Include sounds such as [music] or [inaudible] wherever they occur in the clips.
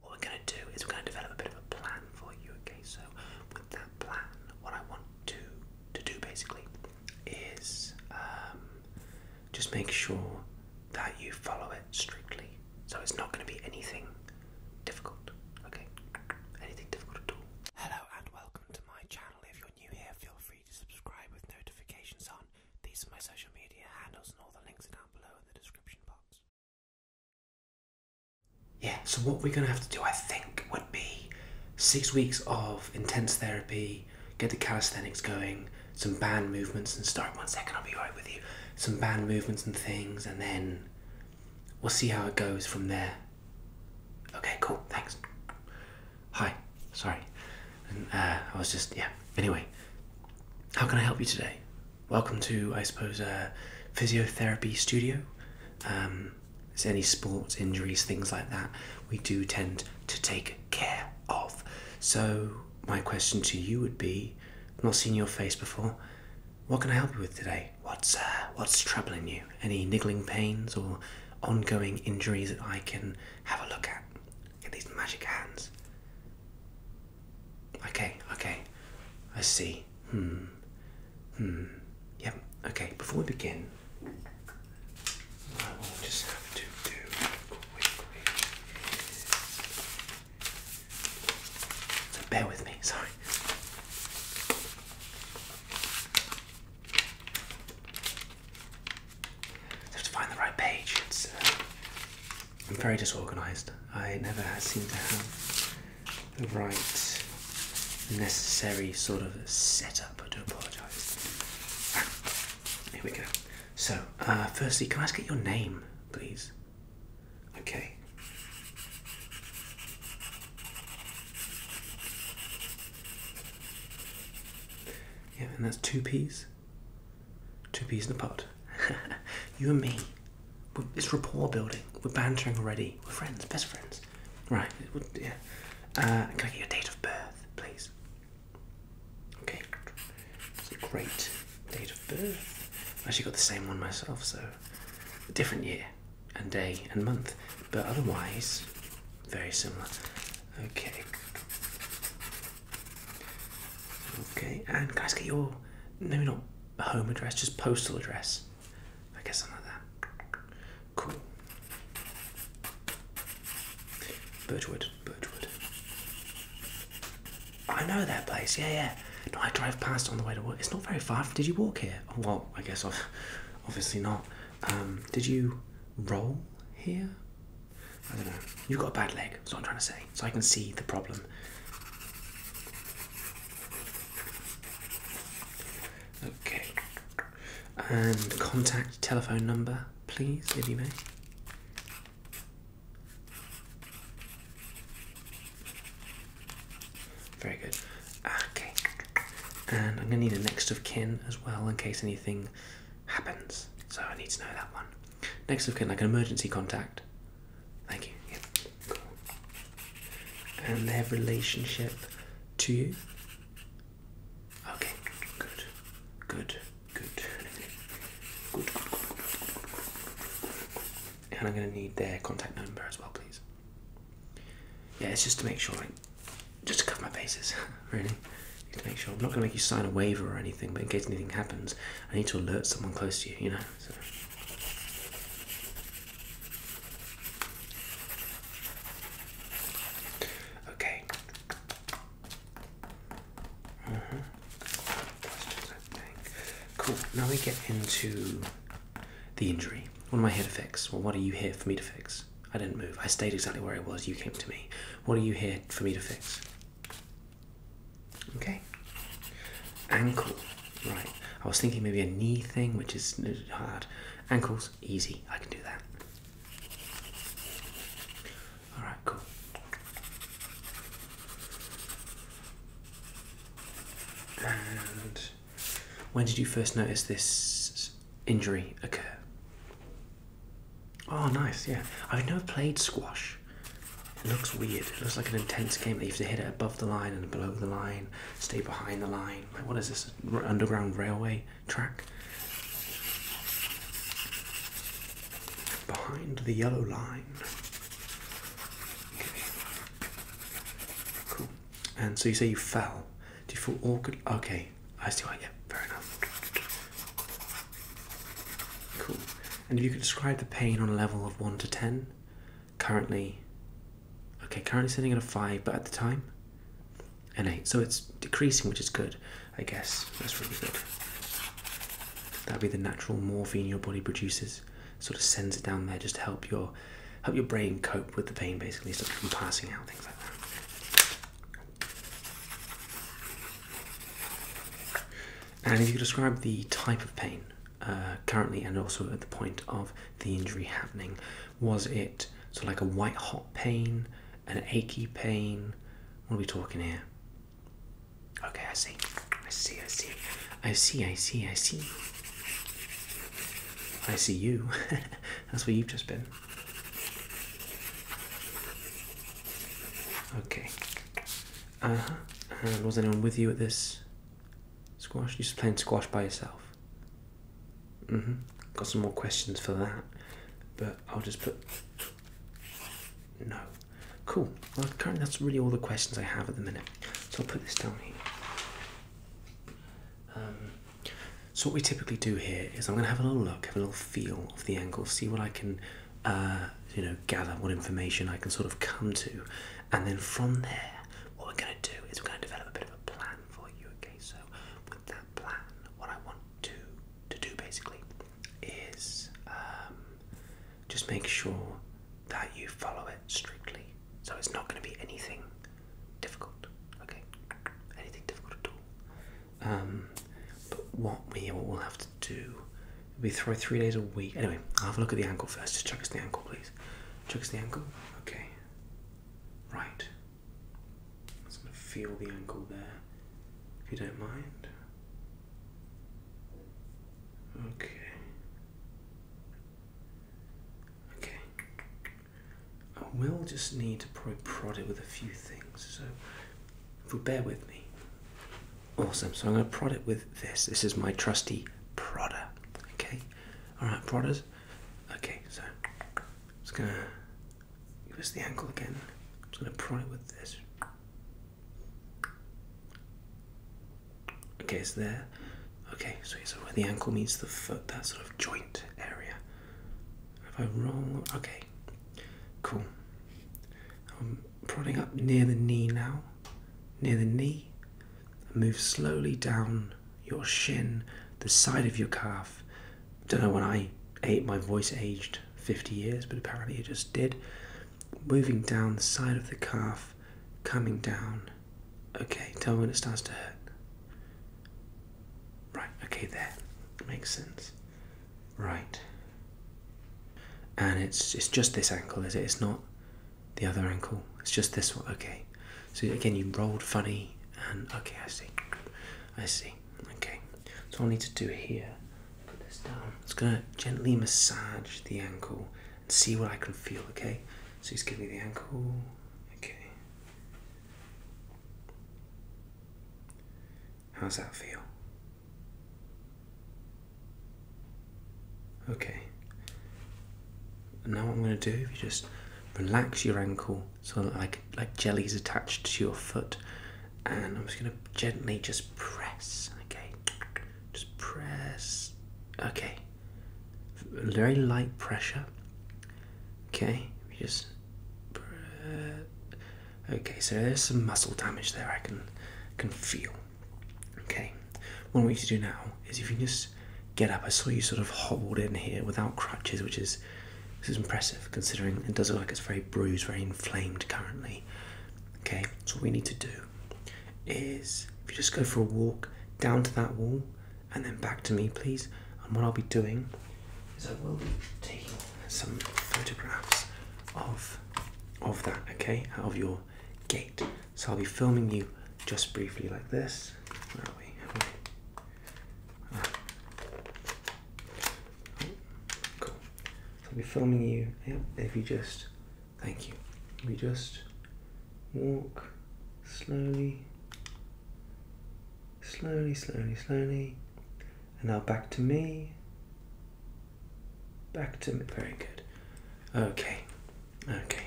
What we're going to do is we're going to develop a bit of a plan for you, okay? So, with that plan, what I want to to do basically is um, just make sure that you follow it strictly. So it's not going to be anything difficult, okay? Anything difficult at all. Hello and welcome to my channel. If you're new here, feel free to subscribe with notifications on. These are my social media handles and all the links are down below in the description box. Yeah, so what we're going to have to do, I think, would be six weeks of intense therapy, get the calisthenics going, some band movements and start. One second, I'll be right with you. Some band movements and things, and then we'll see how it goes from there. Okay, cool, thanks. Hi, sorry. Uh, I was just, yeah. Anyway, how can I help you today? welcome to, I suppose, a physiotherapy studio. Um, any sports injuries, things like that, we do tend to take care of. So, my question to you would be not seen your face before. What can I help you with today? What's, uh, what's troubling you? Any niggling pains or ongoing injuries that I can have a look at? Get these magic hands. Okay, okay. I see. Hmm. Hmm. Yep. Okay, before we begin, So bear with me, sorry. So find the right page. I'm very disorganized. I never seem to have the right necessary sort of setup. I do apologize. [laughs] Here we go. So, uh, firstly, can I get your name, please? Okay. Yeah, and that's two P's. Two peas in a pod. [laughs] you and me. We're, it's rapport building. We're bantering already. We're friends, best friends. Right. Yeah. Uh, can I get your date of birth, please? Okay. It's a great date of birth. i actually got the same one myself, so a different year and day and month, but otherwise very similar. Okay. Okay, and guys, get your maybe not a home address, just postal address. I guess something like that. Cool. Birchwood, Birchwood. I know that place. Yeah, yeah. No, I drive past on the way to work. It's not very far. Did you walk here? Oh, well, I guess I've [laughs] obviously not. Um, did you roll here? I don't know. You've got a bad leg. That's what I'm trying to say. So I can see the problem. Okay. And contact telephone number, please, if you may. Very good. Okay. And I'm going to need a next of kin as well in case anything happens. So I need to know that one. Next of kin, like an emergency contact. Thank you. Yep. Cool. And their relationship to you. Okay. Good. Good. Good. Good. Good. good. And I'm going to need their contact number as well, please. Yeah, it's just to make sure, like, just to cover my bases, [laughs] really. You make sure I'm not going to make you sign a waiver or anything, but in case anything happens, I need to alert someone close to you, you know? Okay. Uh-huh. Cool. Now we get into the injury. What am I here to fix? Well, what are you here for me to fix? I didn't move. I stayed exactly where I was. You came to me. What are you here for me to fix? Okay. Ankle. Right. I was thinking maybe a knee thing, which is hard. Ankles, easy. I can do that. Alright, cool. And when did you first notice this injury occur? Oh, nice, yeah. I've never played squash. It looks weird. It looks like an intense game They have to hit it above the line and below the line, stay behind the line. what is this? Underground railway track? Behind the yellow line. Cool. And so you say you fell. Do you feel awkward? Okay, I see why. Yeah, fair enough. Cool. And if you could describe the pain on a level of 1 to 10, currently, okay, currently sitting at a 5, but at the time, an 8. So it's decreasing, which is good, I guess. That's really good. That'd be the natural morphine your body produces. Sort of sends it down there just to help your help your brain cope with the pain basically, so you from passing out, things like that. And if you could describe the type of pain uh, currently and also at the point of the injury happening, was it sort of like a white hot pain, an achy pain? What are we talking here? Okay, I see. I see, I see. I see, I see, I see. I see you. [laughs] That's where you've just been. Okay. Uh huh. was anyone with you at this squash? You just playing squash by yourself. Mm hmm. Got some more questions for that, but I'll just put. No. Cool. Well, currently that's really all the questions I have at the minute. So I'll put this down here. Um, so what we typically do here is I'm going to have a little look, have a little feel of the angle, see what I can uh, you know, gather what information I can sort of come to, and then from there, what we're going to do is we're going to develop a bit of a plan for you. Okay, so with that plan, what I want to to do basically is um, just make sure that you follow it strictly. So it's not going to be anything difficult. Okay, anything difficult at all. Um, but what we will have to do, we throw three days a week. Anyway, I'll have a look at the ankle first. Just check us the ankle, please. Check us the ankle. Okay. Right. I'm going to feel the ankle there, if you don't mind. Okay. Okay. I will just need to probably prod it with a few things. So if bear with me. Awesome. So I'm going to prod it with this. This is my trusty prodder. Okay. All right, prodders. Okay. So I'm just going to give us the ankle again. I'm just going to prod it with this. Okay, it's there. Okay, so it's where the ankle meets the foot, that sort of joint area. If I roll, okay, cool. I'm prodding up near the knee now, near the knee. move slowly down your shin, the side of your calf. Don't know when I ate my voice aged 50 years, but apparently it just did. Moving down the side of the calf, coming down. Okay, tell me when it starts to hurt. Right, okay, there. Makes sense right. And it's it's just this ankle, is it? It's not the other ankle. It's just this one. Okay. So again, you rolled funny, and okay, I see. I see. Okay. So I need to do here. Put this down. It's gonna gently massage the ankle and see what I can feel. Okay. So just give me the ankle. Okay. How's that feel? Okay. Now what I'm going to do, if you just relax your ankle so that like like jelly's attached to your foot, and I'm just going to gently just press. Okay, just press. Okay, very light pressure. Okay, we just Okay, so there's some muscle damage there I can can feel. Okay, what I want you to do now is if you just get up. I saw you sort of hobbled in here without crutches, which is this is impressive considering it does look like it's very bruised, very inflamed currently. Okay, so what we need to do is if you just go for a walk down to that wall and then back to me, please and what I'll be doing is I will be taking some photographs of of that, okay, out of your gate. So I'll be filming you just briefly like this. Where are we? Where ah. cool. So I'll be filming you. Yep. If you just, thank you. If you just walk slowly, slowly, slowly, slowly and now back to me. Back to me. Very good. Okay. Okay.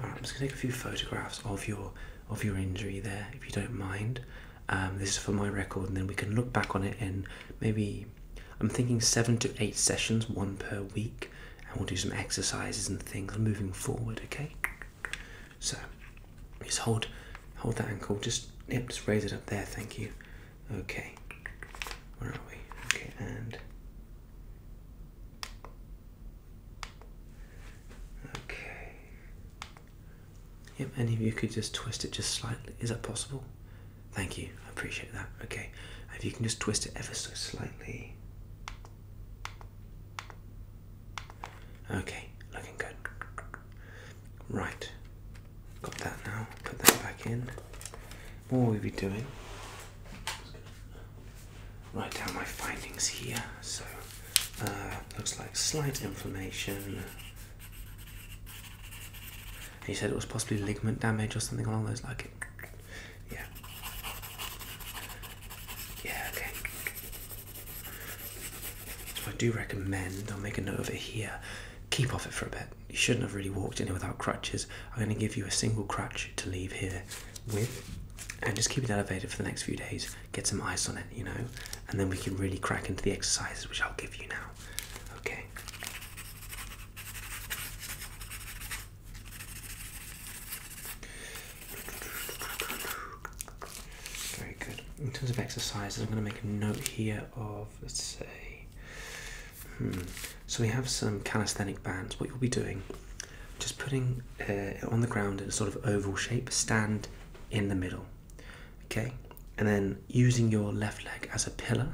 Alright, I'm just gonna take a few photographs of your of your injury there, if you don't mind. Um, this is for my record, and then we can look back on it and maybe I'm thinking seven to eight sessions, one per week, and we'll do some exercises and things moving forward. Okay. So just hold hold that ankle, just yep, just raise it up there, thank you. Okay. Where are we? Okay, and Okay. Yep, any of you could just twist it just slightly. Is that possible? Thank you. I appreciate that. Okay. If you can just twist it ever so slightly. Okay, looking good. Right, got that now. Put that back in. What will we be doing? Write down my findings here. So, uh, looks like slight inflammation. He said it was possibly ligament damage or something along those lines. like it. Yeah. Yeah. Okay. So I do recommend, I'll make a note of it here, keep off it for a bit. You shouldn't have really walked in here without crutches. I'm going to give you a single crutch to leave here with and just keep it elevated for the next few days. Get some ice on it, you know, and then we can really crack into the exercises which I'll give you now. Okay. Very good. In terms of exercises, I'm going to make a note here of, let's say, hmm, so we have some calisthenic bands. What you'll be doing, just putting uh, on the ground in a sort of oval shape, stand in the middle, okay? And then using your left leg as a pillar,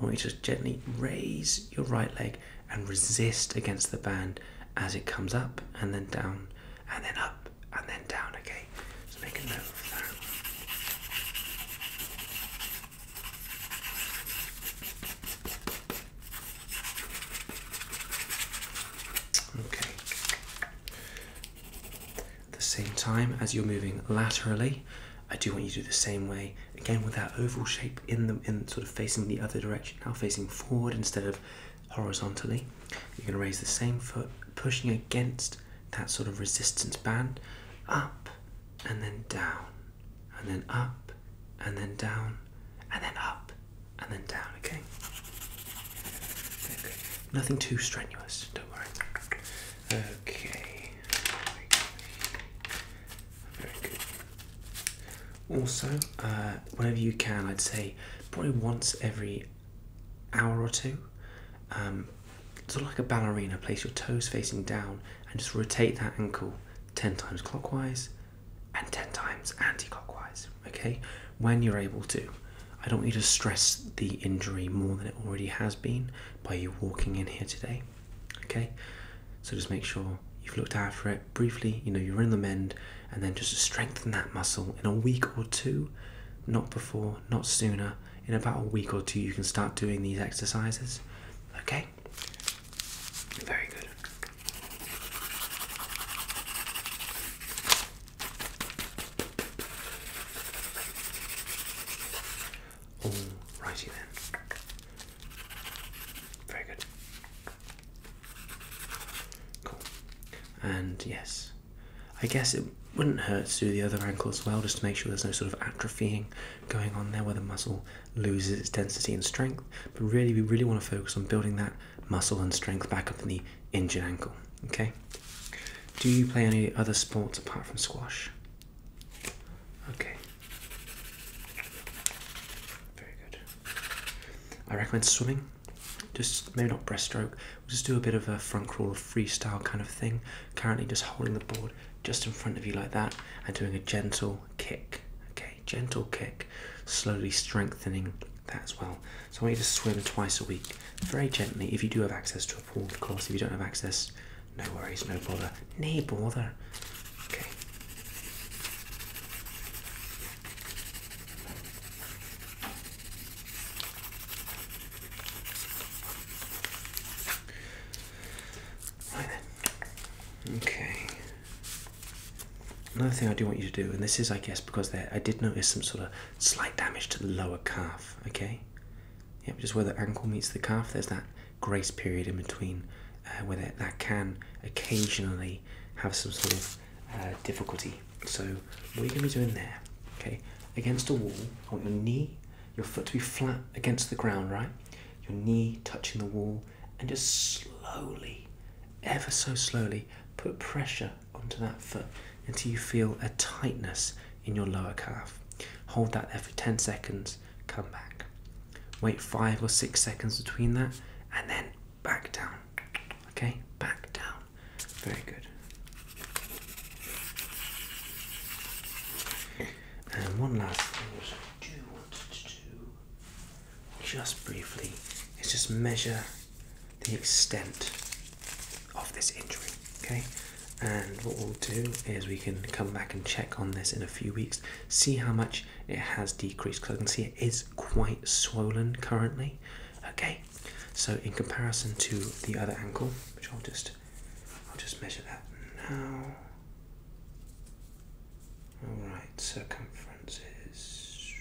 I want you to gently raise your right leg and resist against the band as it comes up and then down and then up and then down, okay? So make a note of that. Okay. At the same time as you're moving laterally, I do want you to do the same way again with that oval shape in the in sort of facing the other direction, now facing forward instead of horizontally. You're going to raise the same foot, pushing against that sort of resistance band, up and then down, and then up and then down, and then up and then down. Okay. okay. Nothing too strenuous. Don't worry. Okay. Very good. Also, uh, whenever you can, I'd say probably once every hour or two, um, sort of like a ballerina, place your toes facing down and just rotate that ankle 10 times clockwise and 10 times anti clockwise, okay? When you're able to. I don't need to stress the injury more than it already has been by you walking in here today, okay? So just make sure you've looked after it briefly, you know, you're in the mend, and then just strengthen that muscle in a week or two, not before, not sooner. In about a week or two, you can start doing these exercises. Okay? Very good. All righty then. Very good. Cool. And yes, I guess it wouldn't hurt to do the other ankle as well, just to make sure there's no sort of atrophying going on there where the muscle loses its density and strength. But really, we really want to focus on building that muscle and strength back up in the injured ankle. Okay. Do you play any other sports apart from squash? Okay. Very good. I recommend swimming just maybe not breaststroke, just do a bit of a front crawler freestyle kind of thing. Currently, just holding the board just in front of you like that and doing a gentle kick. Okay, gentle kick, slowly strengthening that as well. So I want you to swim twice a week, very gently. If you do have access to a pool, of course. If you don't have access, no worries, no bother. No bother. Okay. Okay. Another thing I do want you to do, and this is, I guess, because I did notice some sort of slight damage to the lower calf. Okay. Yep, just where the ankle meets the calf, there's that grace period in between, uh, where that can occasionally have some sort of uh, difficulty. So what are you going to be doing there, okay, against a wall, I want your knee, your foot to be flat against the ground, right? Your knee touching the wall, and just slowly, ever so slowly, put pressure onto that foot until you feel a tightness in your lower calf. Hold that there for 10 seconds, come back. Wait five or six seconds between that, and then back down. Okay, back down. Very good. And one last thing which I do want to do, just briefly, is just measure the extent of this injury. Okay, and what we'll do is we can come back and check on this in a few weeks, see how much it has decreased. Because I can see it is quite swollen currently. Okay, so in comparison to the other ankle, which I'll just I'll just measure that now. All right, circumference is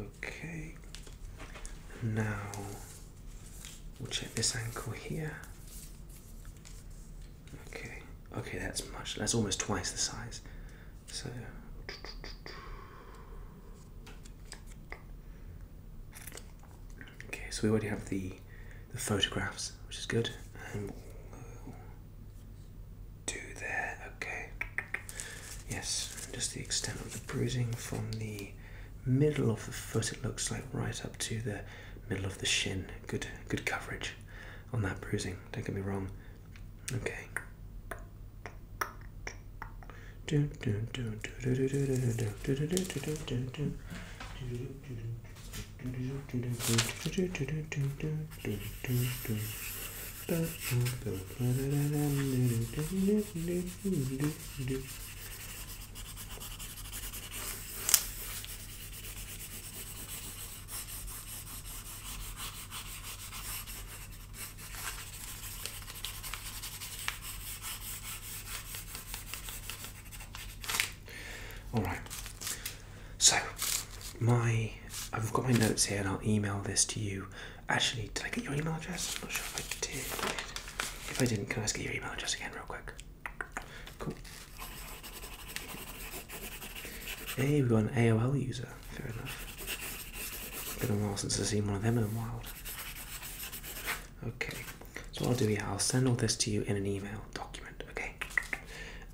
okay. Now we'll check this ankle here. Okay, okay, that's much. That's almost twice the size. So. Okay, so we already have the the photographs, which is good. And do there. Okay. Yes, just the extent of the bruising from the middle of the foot. It looks like right up to the middle of the shin. Good, good coverage. I'm not bruising. Don't get me wrong. Okay. All right. So, my I've got my notes here, and I'll email this to you. Actually, did I get your email address? I'm not sure if I did. If I didn't, can I get your email address again, real quick? Cool. Hey, we've got an AOL user. Fair enough. Been a while since I've seen one of them in the wild. Okay, so I'll do here, I'll send all this to you in an email document, okay?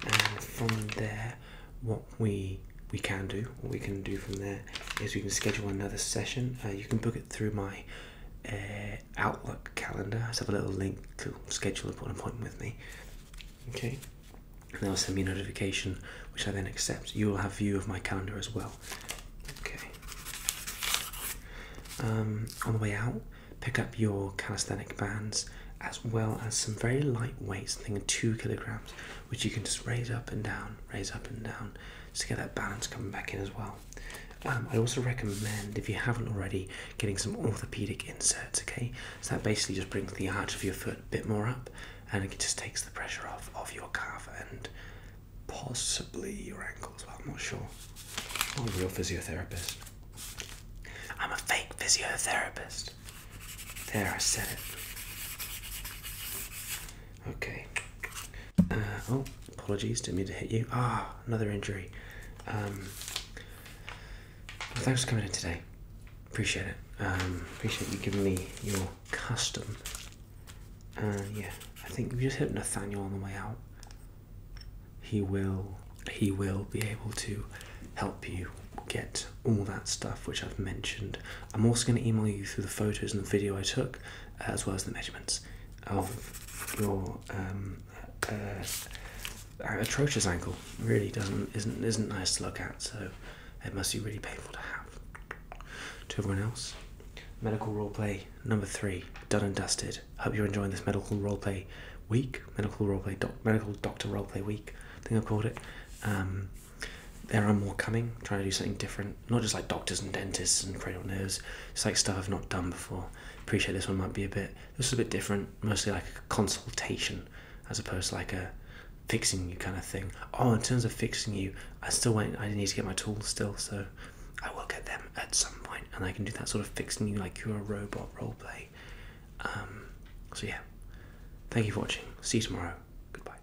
And from there, what we we can do, what we can do from there, is we can schedule another session. Uh, you can book it through my uh, Outlook calendar. I have a little link to schedule an appointment with me. Okay, and they'll send me a notification, which I then accept. You will have view of my calendar as well. Okay. Um, on the way out, pick up your calisthenic bands as well as some very light weights. I think two kilograms, which you can just raise up and down, raise up and down, just to get that balance coming back in as well. Um, I also recommend, if you haven't already, getting some orthopedic inserts, okay? So that basically just brings the arch of your foot a bit more up and it just takes the pressure off of your calf and possibly your ankles. well. I'm not sure. I'm a real physiotherapist. I'm a fake physiotherapist. There, I said it. Okay. Uh, oh, apologies, didn't mean to hit you. Ah, oh, another injury. Um, thanks for coming in today. Appreciate it. Um, appreciate you giving me your custom. Uh, yeah, I think if you just hit Nathaniel on the way out, he will he will be able to help you get all that stuff which I've mentioned. I'm also going to email you through the photos and the video I took, uh, as well as the measurements of your um, uh, uh atrocious ankle. Really doesn't isn't nice to look at. So it must be really painful to have. To everyone else, medical role play number three done and dusted. Hope you're enjoying this medical role play week. Medical role play, medical doctor role play week. I think I called it. Um, there are more coming. trying to do something different, not just like doctors and dentists and cranial nerves. It's like stuff I've not done before. Appreciate this one might be a bit this is a bit different, mostly like a consultation as opposed to like a fixing you kind of thing. Oh, in terms of fixing you, I still went, I need to get my tools still, so I will get them at some point and I can do that sort of fixing you like you're a robot roleplay. Um, so yeah, thank you for watching. See you tomorrow. Goodbye.